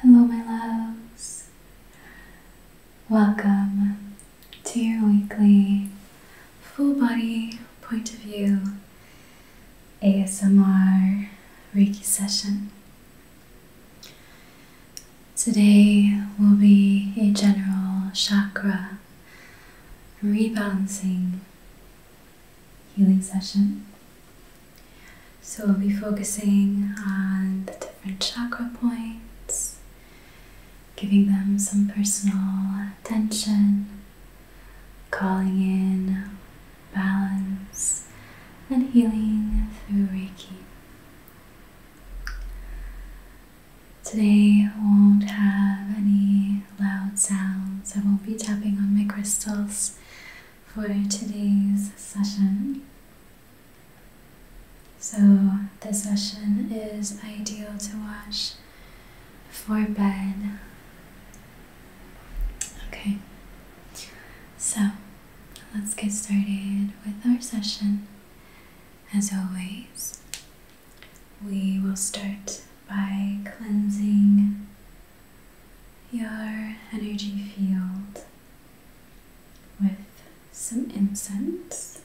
Hello, my loves. Welcome to your weekly full body point of view ASMR Reiki session. Today will be a general chakra rebalancing healing session. So we'll be focusing on the different chakra points, giving them some personal attention, calling in balance and healing through Reiki. Today won't have any loud sounds. I won't be tapping on my crystals for today's session. So, this session is ideal to watch for bed. Okay, so let's get started with our session. As always, we will start by cleansing your energy field with some incense.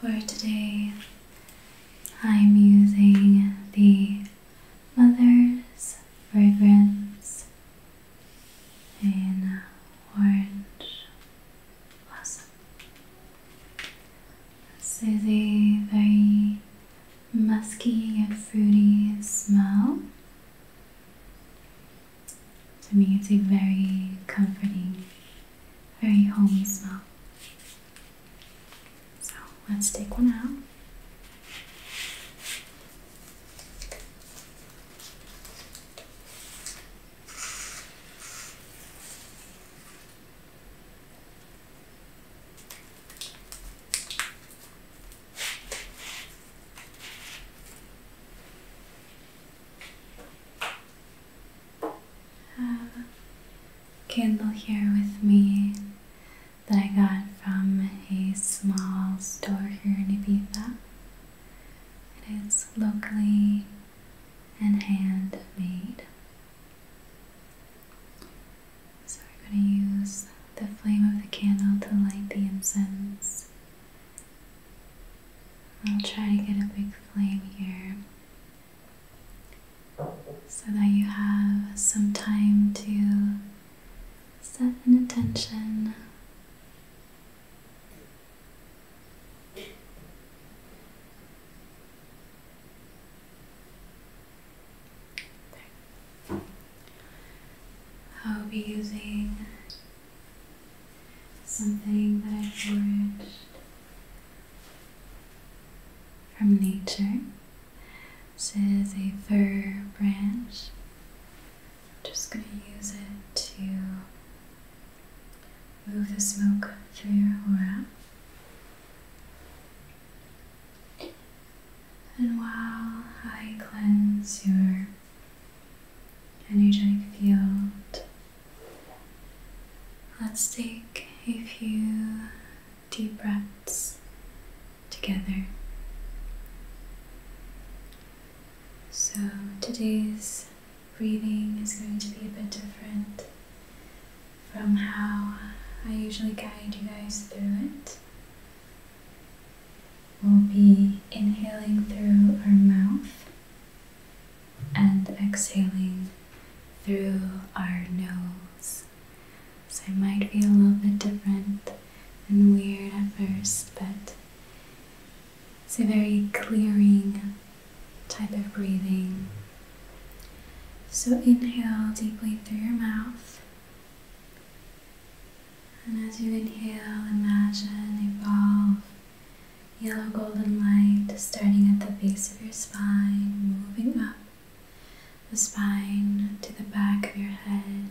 For today, I'm using the Mother's Fragrance in Orange Blossom. This is a very musky and fruity smell. To me, it's a very comforting, very homey smell. So let's take one out. Have uh, a candle here with me that I got from a small store here in Ibiza. It is locally and handmade. So we're going to use the flame of the candle to light the incense. I'll try to get a big flame here so that you have some time to set an intention I'll be using something that I've learned from nature. This is a fir branch. I'm just going to use it to Move the smoke through your aura. And while I cleanse your energetic field, let's take a few deep breaths together. So today's breathing is going to be a bit different from how I usually guide you guys through it. We'll be inhaling through our mouth and exhaling through our nose. So it might be a little bit different and weird at first, but it's a very clearing type of breathing. So inhale deeply through your mouth. And as you inhale, imagine evolve yellow golden light starting at the base of your spine, moving up the spine to the back of your head,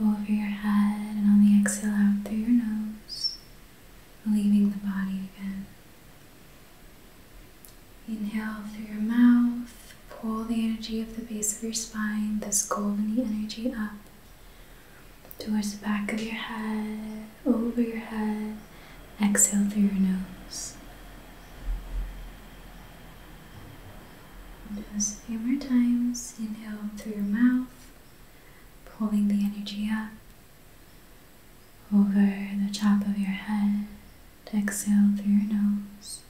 over your head, and on the exhale out through your nose leaving the body again. Inhale through your mouth, pull the energy of the base of your spine, this golden energy up towards the back of your head, over your head. Exhale through your nose. Do this a few more times. Inhale through your mouth, pulling the energy up over the top of your head. Exhale through your nose.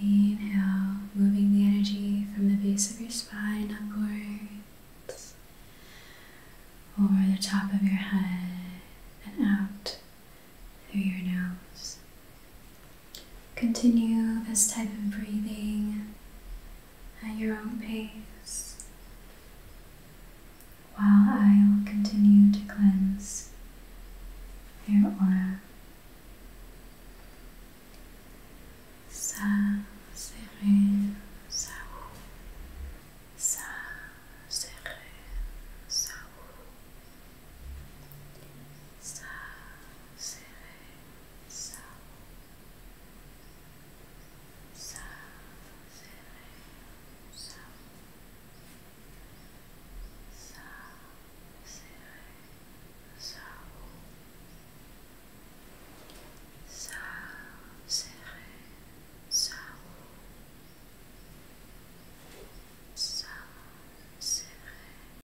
Inhale, moving the energy from the base of your spine upwards, over the top of your head, and out through your nose. Continue this type of breathing at your own pace while I will continue to cleanse your aura. Ça, serré, ça, ça, serré, ça, ça, serré, ça south, south, south, south, south, south, south, Serré,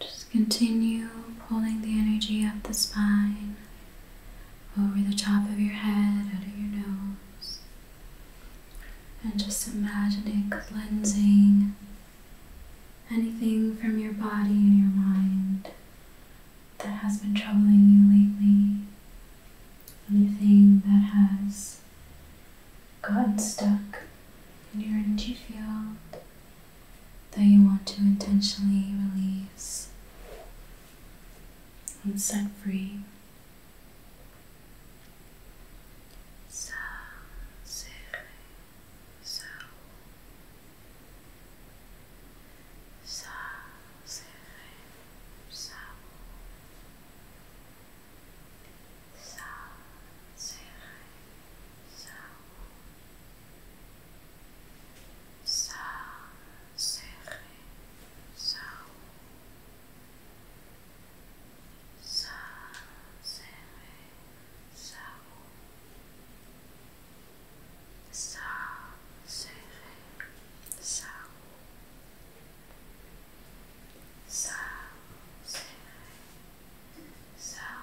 Just continue pulling the energy up the spine over the top of your head, out of your nose, and just imagine it cleansing anything from your body and your mind that has been troubling you lately, anything that has gotten stuck in your energy field that you want to intentionally release and set free. So, so, so, so, so, so, so, so, so, so, serre, sao, sa, serre, sao, sa, serre, sao, sa, serre, sao.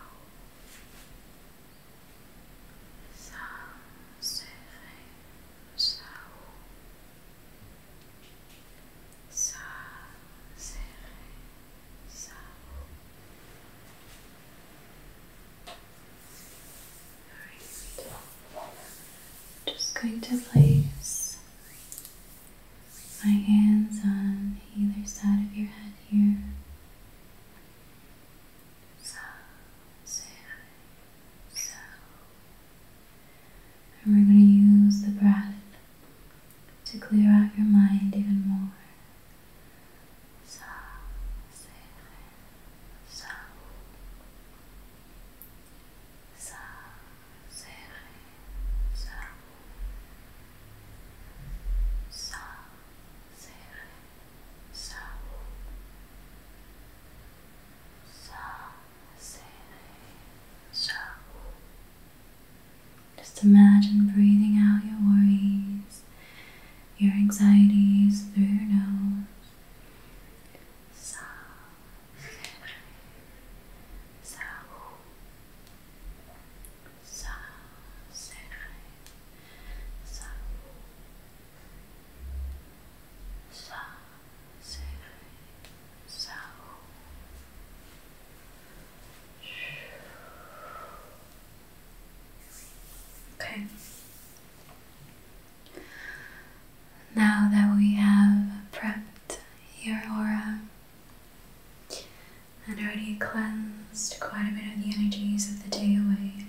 Sans serrer, just going to place my hands on either side of your head here so, so, so. And we're going to use the breath to clear out your mind even more. So, so, so. So, so, so. So, so, so. So, just imagine breathing out your worries, your anxieties through your nose. So, so, so, so, so, so, okay now that we have prepped your aura and already cleansed quite a bit of the energies of the day away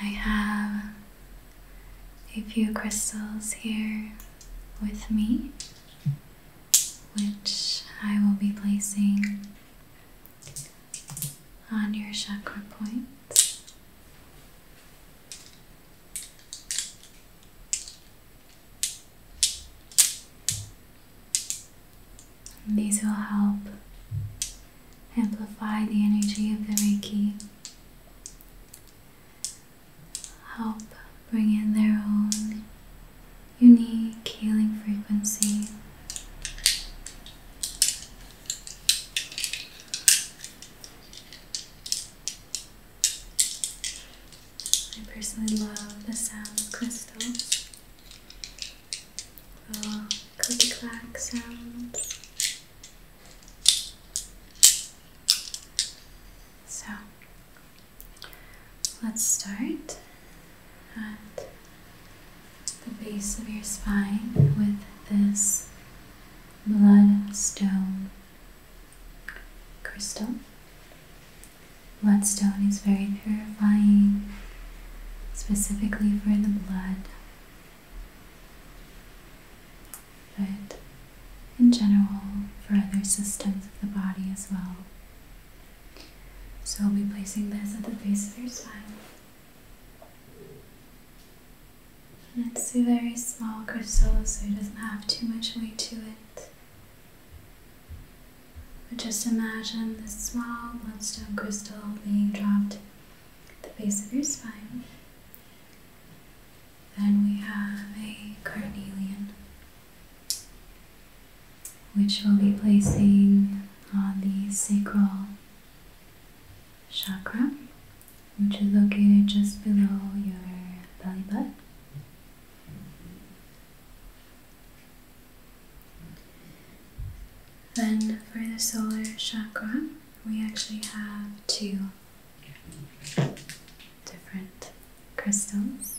I have a few crystals here with me, which I will be placing on your chakra points. These will help amplify the energy of the Reiki, help bring in their own unique healing frequency. I personally love the sound of crystals. The clicky clack sounds. So let's start at the base of your spine with this bloodstone crystal. Bloodstone is very purifying, specifically for the blood but in general for other systems of the body as well. So I'll be placing this at the base of your spine. it's a very small crystal, so it doesn't have too much weight to it. But just imagine this small bloodstone crystal being dropped the base of your spine. Then we have a carnelian, which we'll be placing on the sacral chakra, which is located just below your belly button. Then for the solar chakra, we actually have two different crystals.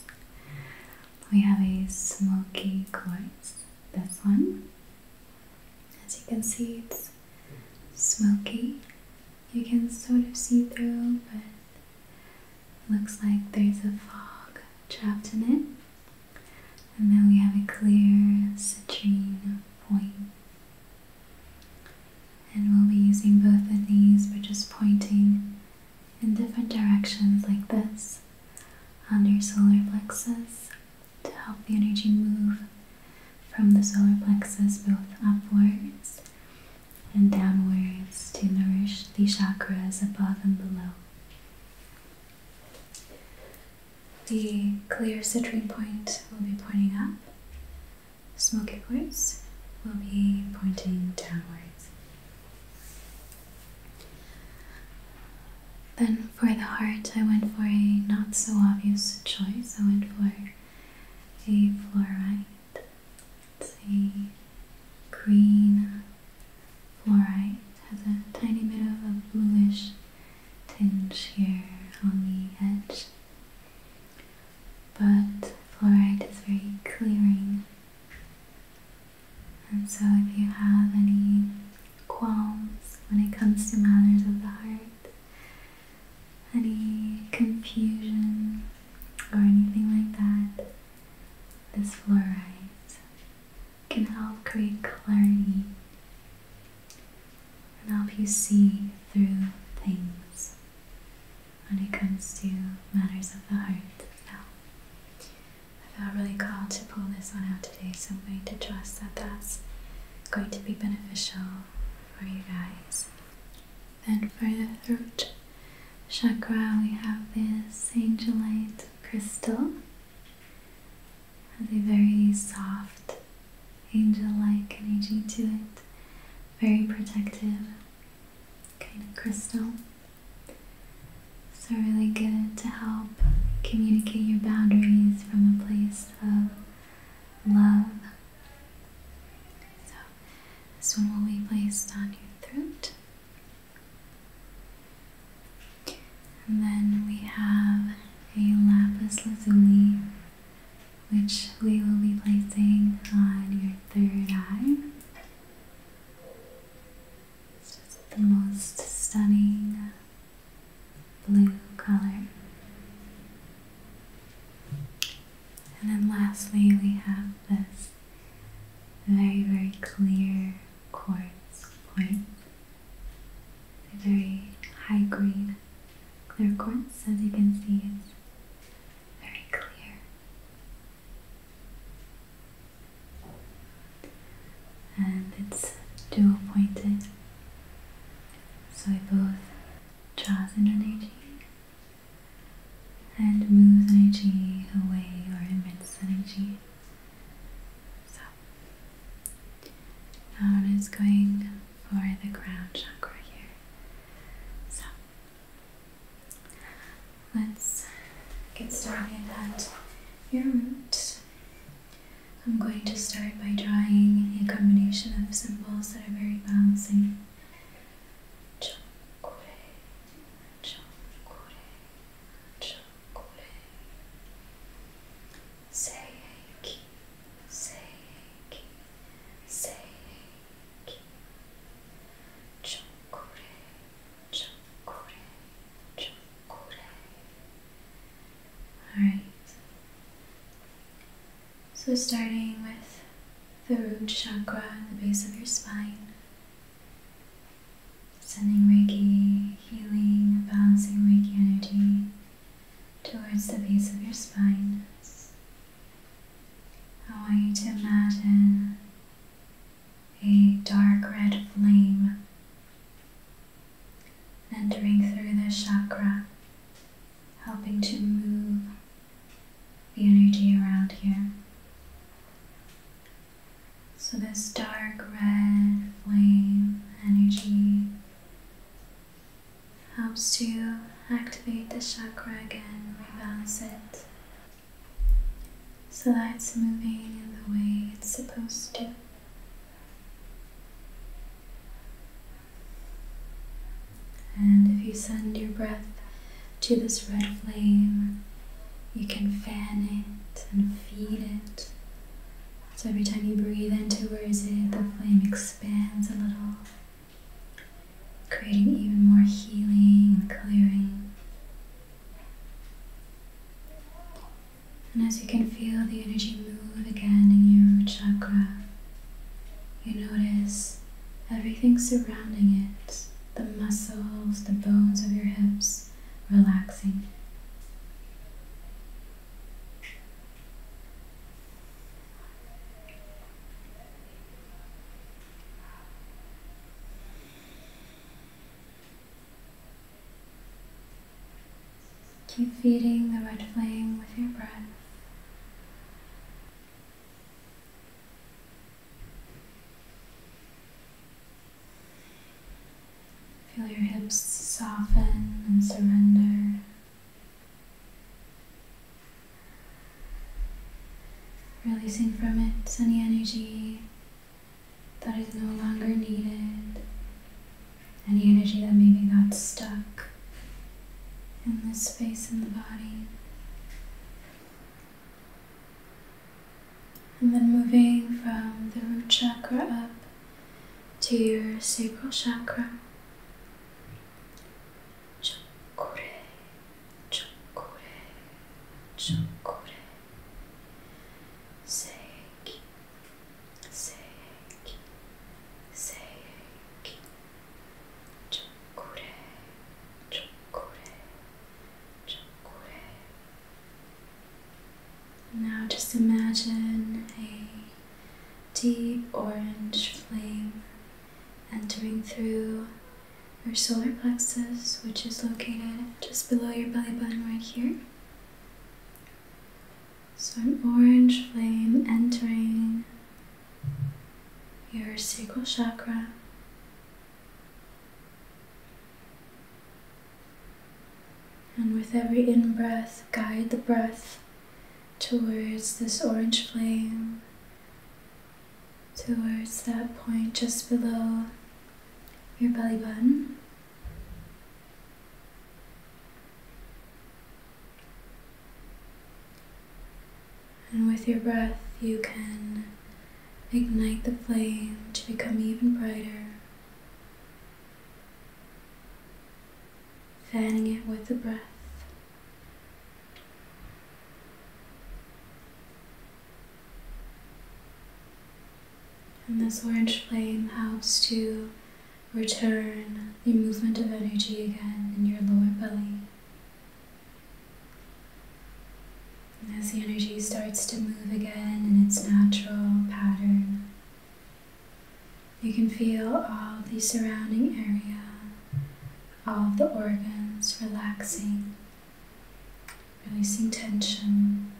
We have a smoky quartz, this one. As you can see, it's smoky. You can sort of see through, but looks like there's a fog trapped in it. And then we have a clear citrine point. And we'll be using both of these, but just pointing in different directions like this on your solar plexus to help the energy move from the solar plexus both upwards and downwards to nourish the chakras above and below. The clear citrine point will be pointing up, smoky quartz will be pointing downwards. Then for the heart, I went for a not so obvious choice. I went for a fluorite. It's a green fluorite, has a tiny bit of a bluish tinge here on the edge. But fluoride is very clearing. And so if you have any qualms when it comes to matters of the heart, any confusion or anything like that, this fluoride can help create clarity and help you see through things when it comes to matters of the heart. I felt really called to pull this one out today, so I'm going to trust that that's going to be beneficial for you guys. Then for the throat chakra, we have this angelite crystal has a very soft, angel like energy to it, very protective kind of crystal. So, really good to help communicate your boundaries from a place of love. So, this one will be placed on your throat. And then we have a lapis lazuli, which we will be placing on your third eye. It's just the most stunning blue color. And then lastly, we have this very, very clear quartz point. They're very high grade clear quartz, as you can see, it's very clear. And it's dual pointed, so it both draws in energy and moves energy away or emits energy. So now it is going for the crown chakra here. So let's get started at your root. I'm going to start by drawing a combination of symbols that are very balancing. Chokure, chokure, chokure. Say Seiki, Seiki, Chokure, Chokure, Chokure. Alright. So, starting with the root chakra the base of your spine, sending reggie, healing, balancing reggie energy towards the base of your spine. I want you to imagine a dark red flame entering through the chakra, helping to move the energy around here. So, this dark red flame energy helps to activate the chakra again, rebalance it so that it's moving in the way it's supposed to. And if you send your breath to this red flame, you can fan it and feed it so every time you breathe into Where's It, the flame expands a little, creating even more healing and clearing. And as you can feel the energy move again in your chakra, you notice everything surrounding it the muscles, the bones of your hips relaxing. Keep feeding the red flame with your breath. Feel your hips soften and surrender. Releasing from it any energy that is no longer needed, any energy that maybe got stuck in this space in the body. And then moving from the root chakra up to your sacral chakra. Chakure, chakure, chakure. Seiki, seiki, seiki. Chakure, chakure, chakure. Now just imagine a deep orange flame entering through your solar plexus, which is located just below your belly button right here. So, an orange flame entering your sacral chakra. And with every in breath, guide the breath towards this orange flame, towards that point just below your belly button. And with your breath, you can ignite the flame to become even brighter fanning it with the breath. And this orange flame helps to return the movement of energy again in your lower belly. And as the energy starts to move again in its natural pattern, you can feel all the surrounding area, all the organs relaxing, releasing tension.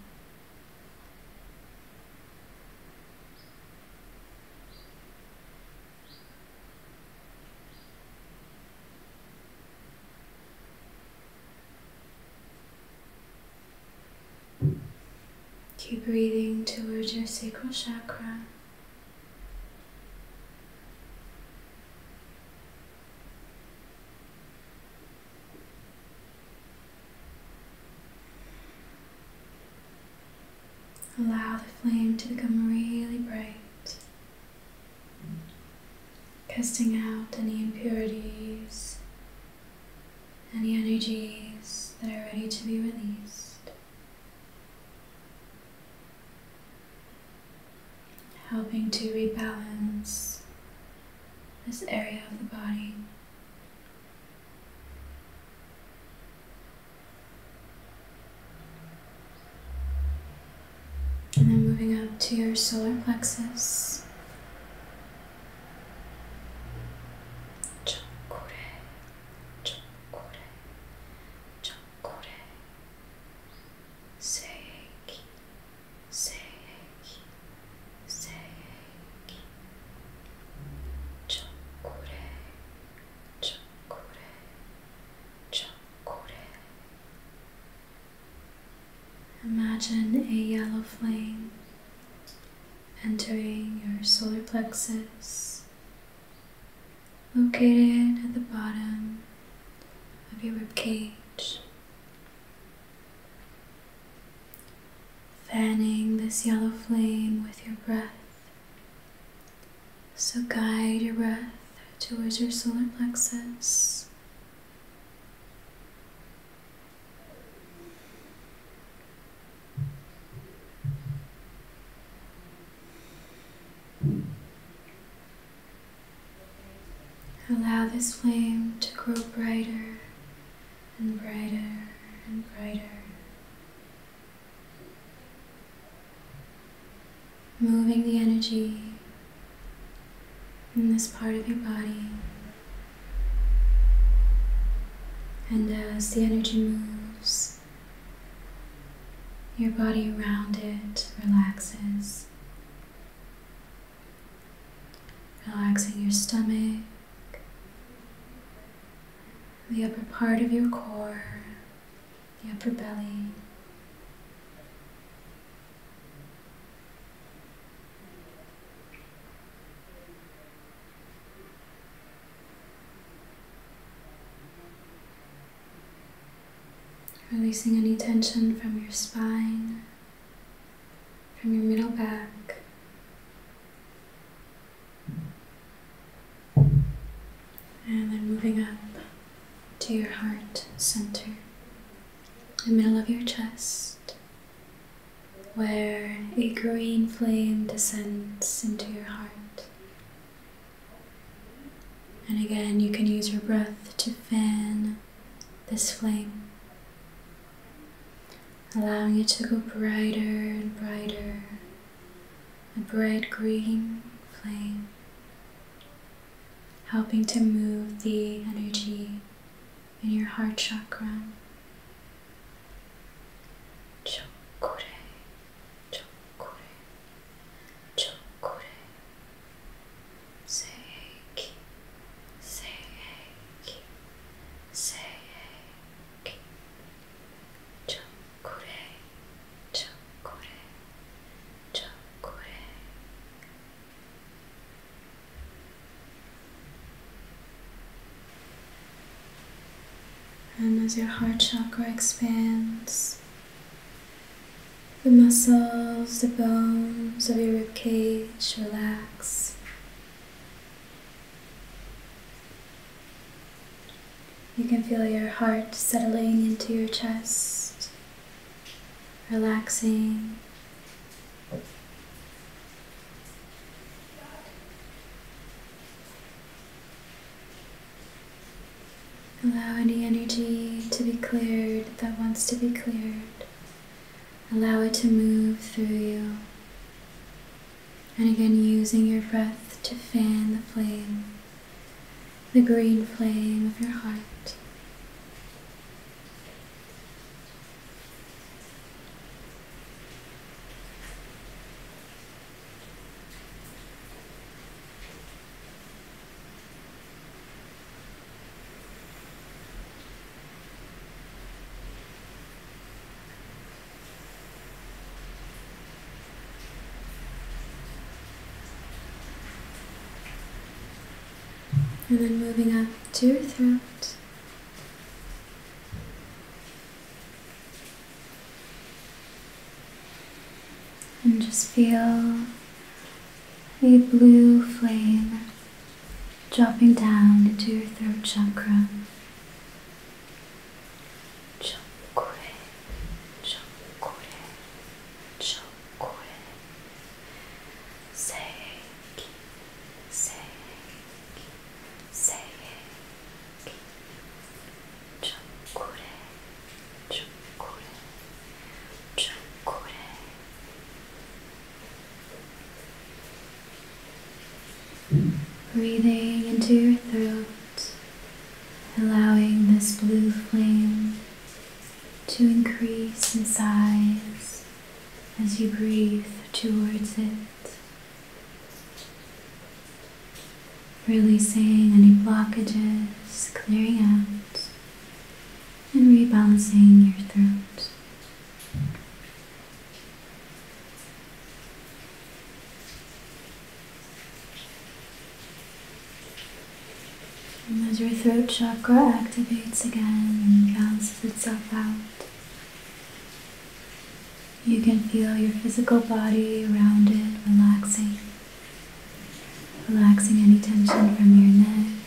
Keep breathing towards your sacral chakra. Allow the flame to become really bright casting out any impurities any energies that are ready to be released. Helping to rebalance this area of the body. And then moving up to your solar plexus. 초콜릿, 초콜릿, 초콜릿, 새기, 새기, 새기, 초콜릿, 초콜릿, 초콜릿. Imagine a yellow flame entering your solar plexus, located at the bottom of your rib cage, fanning this yellow flame with your breath. So guide your breath towards your solar plexus. Allow this flame to grow brighter and brighter and brighter. Moving the energy in this part of your body and as the energy moves, your body around it relaxes, relaxing your stomach, the upper part of your core, the upper belly. Releasing any tension from your spine, from your middle back. And then moving up to your heart center, the middle of your chest, where a green flame descends into your heart. And again, you can use your breath to fan this flame, allowing it to go brighter and brighter, a bright green flame, helping to move the energy in your heart chakra 초콜릿, 초콜릿, 초콜릿. 새해기, 새해기, 새해기. 초콜릿, 초콜릿, 초콜릿. And as your heart chakra expands, the muscles, the bones of your ribcage relax. You can feel your heart settling into your chest, relaxing. Allow any energy to be cleared that wants to be cleared. Allow it to move through you. And again, using your breath to fan the flame, the green flame of your heart. And then moving up to your throat. And just feel a blue flame dropping down into your throat chakra. Chakure, chakure, chakure. Seiki, seiki, Breathing into your throat, allowing this blue flame to increase in size as you breathe towards it. Releasing any blockages, clearing out, and rebalancing your throat. as your throat chakra activates again and balances itself out, you can feel your physical body rounded, relaxing. Relaxing any tension from your neck,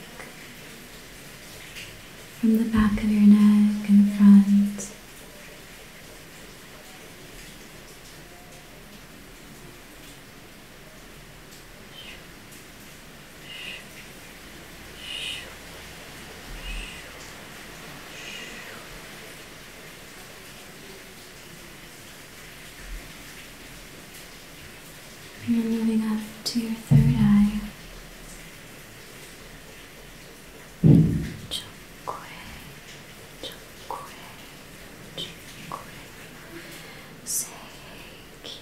from the back of your neck and front. And you're moving up to your third eye. Chukwe, chukwe, chukwe. Seiki,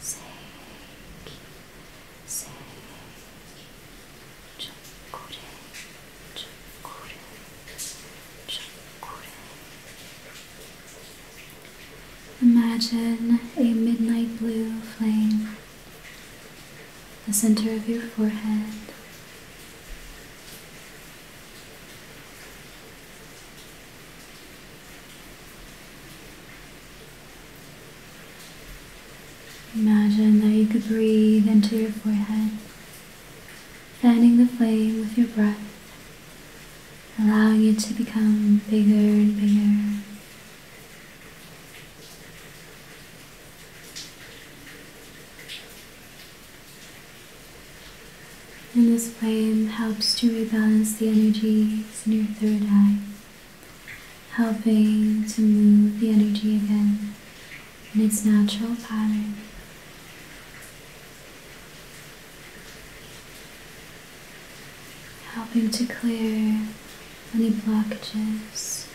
seiki, Imagine a midnight blue flame, the center of your forehead. Imagine that you could breathe into your forehead, fanning the flame with your breath, allowing it to become bigger and bigger. And this flame helps to rebalance the energies in your third eye helping to move the energy again in its natural pattern. Helping to clear any blockages,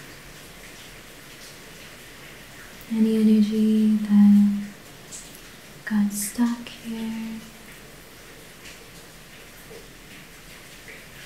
any energy that got stuck here.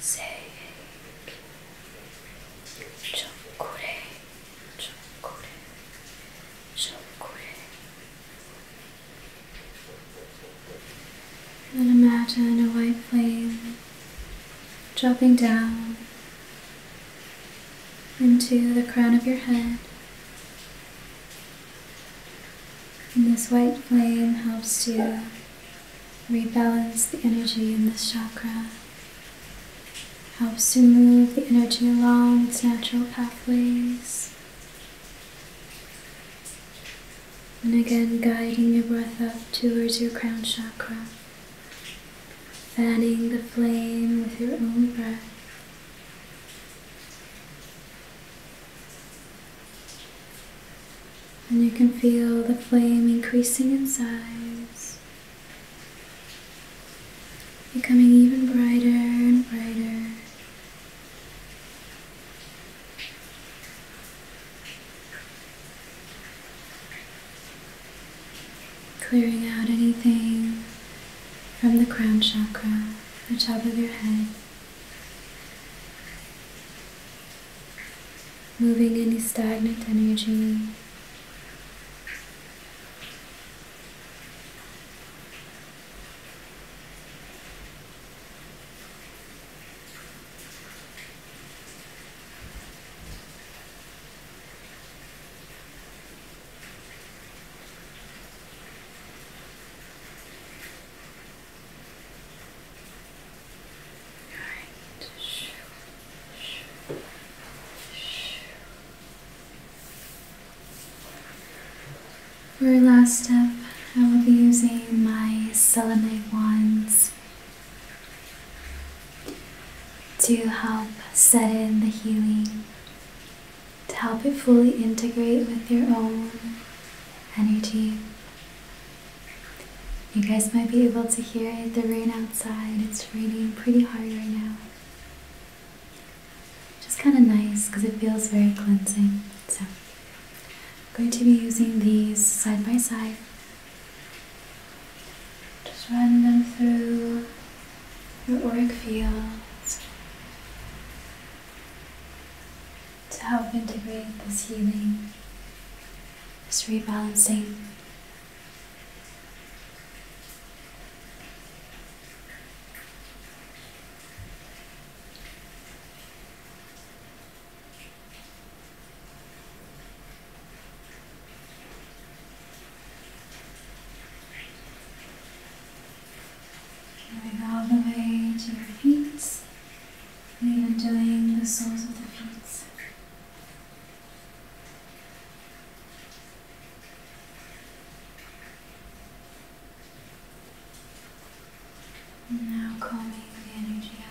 Sake Chokure Chokure Chokure Then imagine a white flame dropping down into the crown of your head. And this white flame helps you rebalance the energy in this chakra, helps to move the energy along its natural pathways. And again, guiding your breath up towards your crown chakra, fanning the flame with your own breath and you can feel the flame increasing in size, becoming even brighter and brighter. Clearing out anything from the crown chakra, the top of your head moving any stagnant energy. For our last step, I will be using my selenite wands to help set in the healing, to help it fully integrate with your own energy you guys might be able to hear the rain outside. It's raining pretty hard right now. Just kind of nice because it feels very cleansing. So, I'm going to be using these side by side. Just run them through your auric fields to help integrate this healing it's rebalancing. Going all the way to your feet, and even doing the soles of the feet. Now calming the energy out.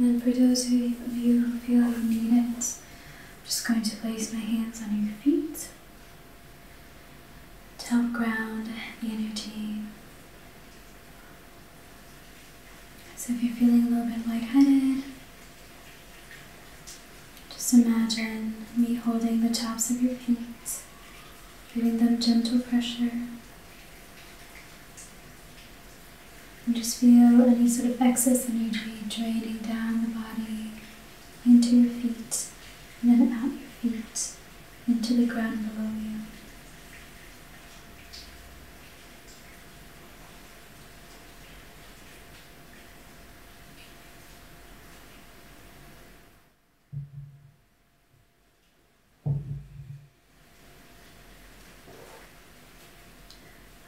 And then for those of you who feel you need it, I'm just going to place my hands on your feet to help ground the energy so if you're feeling a little bit lightheaded, just imagine me holding the tops of your feet, giving them gentle pressure. And just feel any sort of excess energy draining down the body into your feet and then out your feet into the ground below you.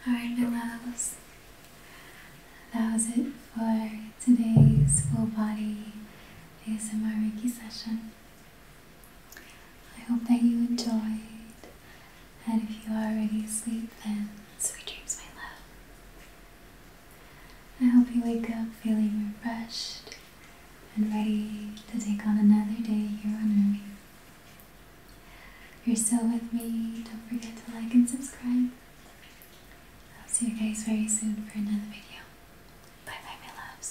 Alright, my that was it for today's full body ASMR Reiki session. I hope that you enjoyed, and if you are already asleep, then sweet dreams, my love. I hope you wake up feeling refreshed and ready to take on another day here on Earth. If you're still with me, don't forget to like and subscribe. I'll see you guys very soon for another video. Bye bye, my loves.